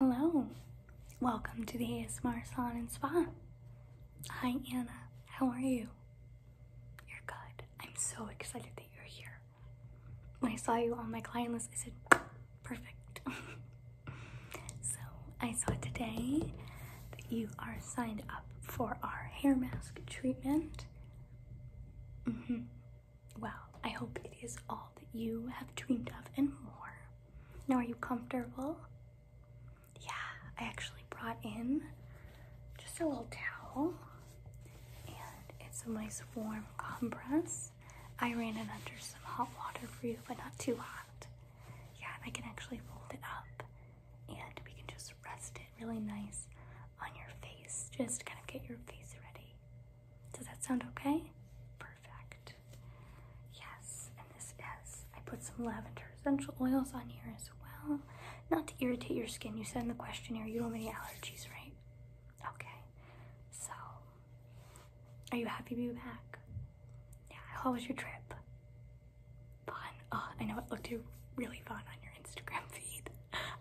Hello, welcome to the ASMR Salon and Spa. Hi, Anna, how are you? You're good. I'm so excited that you're here. When I saw you on my client list, I said, perfect. so, I saw today that you are signed up for our hair mask treatment. hmm. Well, I hope it is all that you have dreamed of and more. Now, are you comfortable? Yeah, I actually brought in just a little towel and it's a nice warm compress. I ran it under some hot water for you, but not too hot. Yeah, I can actually fold it up and we can just rest it really nice on your face, just kind of get your face ready. Does that sound okay? Perfect. Yes, and this is, I put some lavender essential oils on here as well. Not to irritate your skin. You said in the questionnaire you don't have any allergies, right? Okay. So, are you happy to be back? Yeah, how was your trip? Fun. Oh, I know it looked really fun on your Instagram feed.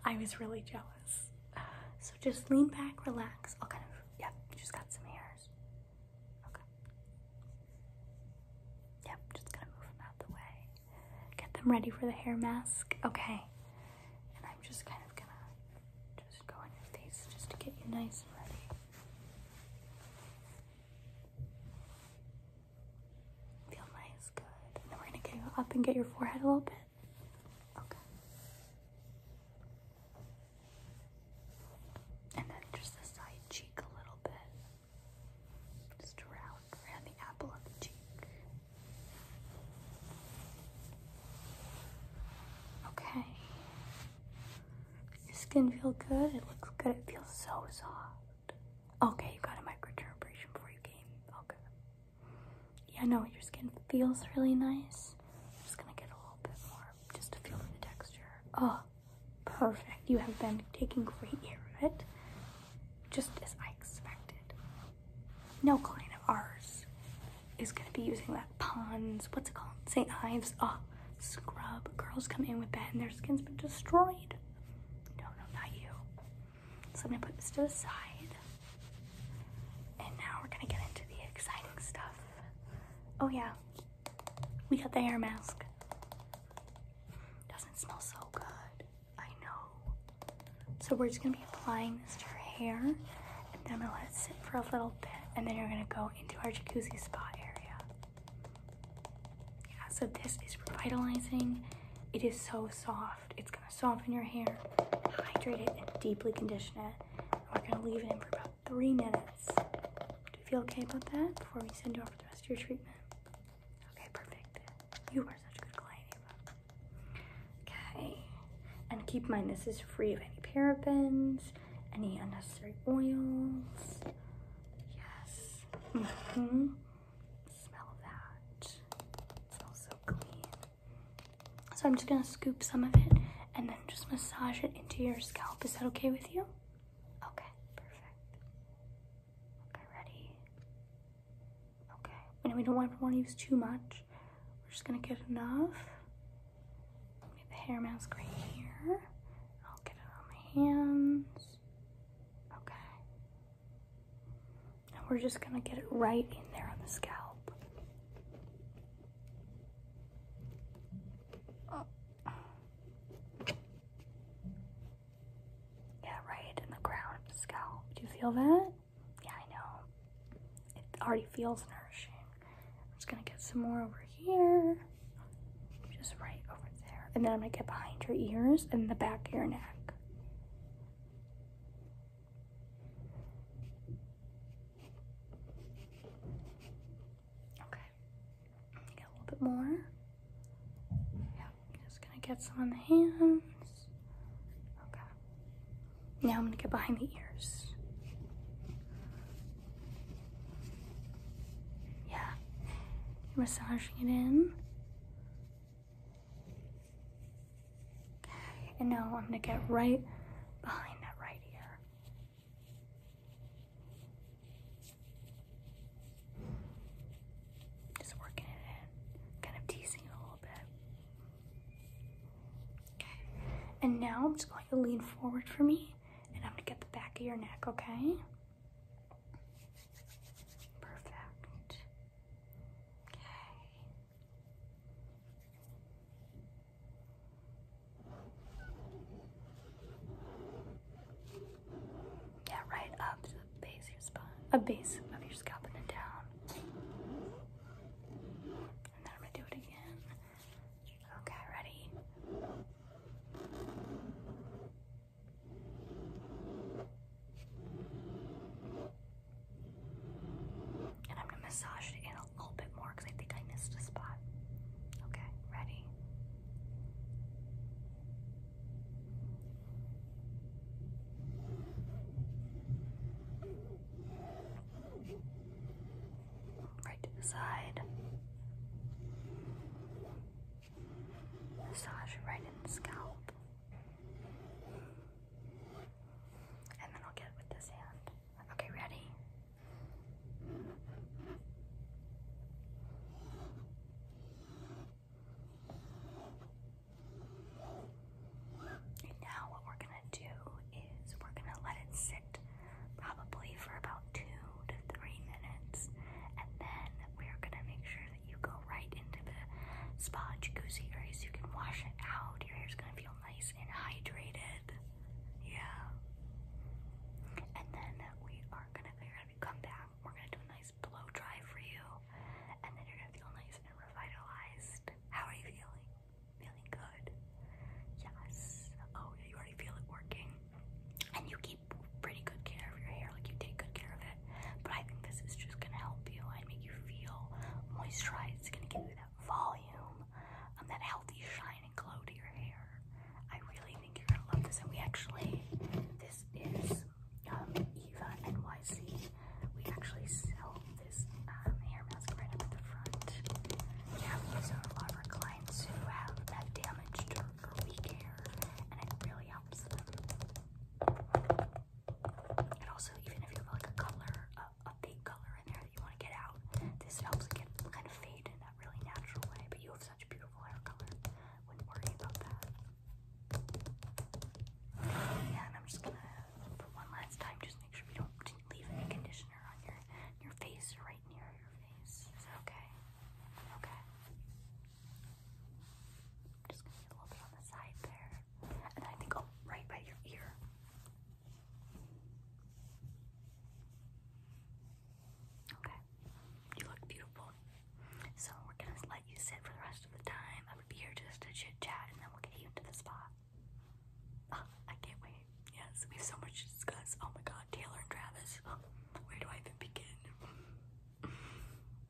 I was really jealous. So just lean back, relax. I'll kind of Yep, just got some hairs. Okay. Yep, just gonna move them out the way. Get them ready for the hair mask. Okay. And I'm just kind of gonna just go on your face just to get you nice and ready. Feel nice, good. then we're gonna go up and get your forehead a little bit. Okay. And then just the side cheek a little bit. Just around, around the apple of the cheek. Okay. Your skin feels good? It looks good. It feels so soft. Okay, you got a microdermabrasion before you came. Okay yeah, no, your skin feels really nice. I'm just gonna get a little bit more just to feel the texture. Oh, perfect. You have been taking great care of it, just as I expected. No client of ours is gonna be using that Pond's, what's it called? St. Ives. Ah, scrub. Girls come in with that and their skin's been destroyed. No, no, not you. So I'm gonna put this to the side. And now we're gonna get into the exciting stuff. Oh yeah, we got the air mask. Doesn't smell so good, I know. So we're just gonna be applying this to her hair and then I'm gonna let it sit for a little bit and then you're gonna go into our jacuzzi spa area. Yeah, so this is revitalizing. It is so soft. It's soften your hair, hydrate it, and deeply condition it. We're gonna leave it in for about three minutes. Do you feel okay about that before we send you off for the rest of your treatment? Okay, perfect. You are such a good client, Ava. Okay. And keep in mind this is free of any parabens, any unnecessary oils. Yes. hmm Smell that. It smells so clean. So I'm just gonna scoop some of it and then just massage it into your scalp. Is that okay with you? Okay, perfect. Okay, ready? Okay, and we don't want to, want to use too much. We're just gonna get enough. Get the hair mask right here. I'll get it on my hands. Okay. And we're just gonna get it right in there on the scalp. Oh. Yeah, right in the crown scalp. Do you feel that? Yeah, I know. It already feels nourishing. I'm just gonna get some more over here. Just right over there. And then I'm gonna get behind your ears and the back of your neck. Okay. a little bit more. Yeah, just gonna get some on the hands. Okay. Now I'm gonna get behind the ears. Yeah. You're massaging it in and now I'm going to get right behind that right here. Just working it in, kind of teasing a little bit. Okay, and now I'm just going to lean forward for me, and I'm going to get the back of your neck, okay? Perfect. Okay. Yeah, right up to the base of your spine, a base of your scalp and then down. And then I'm gonna do it again. Okay, ready? And I'm gonna massage it in a little bit more because I think I missed a spot. Okay, ready? Right to the side. Massage right in the scalp. And then I'll get with this hand. Okay, ready? And now what we're gonna do is we're gonna let it sit probably for about two to three minutes and then we're gonna make sure you go right into the spa jacuzzi so you can wash it out. Your hair's gonna feel nice and hydrated. Yeah. And then we are gonna figure out if you come back, we're gonna do a nice blow dry for you. And then you're gonna feel nice and revitalized. How are you feeling? Feeling good? Yes. Oh, you already feel it working. And you keep pretty good care of your hair, like you take good care of it. But I think this is just gonna help you and make you feel moisturized. It's gonna give you that volume, and that healthy shine and glow to your hair. I really think you're gonna love this. And we actually, this is um, Eva NYC. We actually sell this um, hair mask right up at the front. Yeah, we use a lot of our clients who have damaged or weak hair, and it really helps them. And also, even if you have like a color, a, a big color in there that you want to get out, this helps it get kind of fade in that really natural way. But you have such beautiful hair color, wouldn't worry about that. Yeah, and I'm just gonna, for one last time, just make sure we don't leave any conditioner on your your face right near your face. Is that okay? Okay. Just gonna get a little bit on the side there. And I think, oh, right by your ear. Okay, you look beautiful. So we're gonna let you sit for the rest of the time. I'm be here just to chit chat, and then we'll get you into the spot. Ah, I can't wait. Yes, we have so much to discuss. Oh my God, Taylor and Travis. Where do I even begin?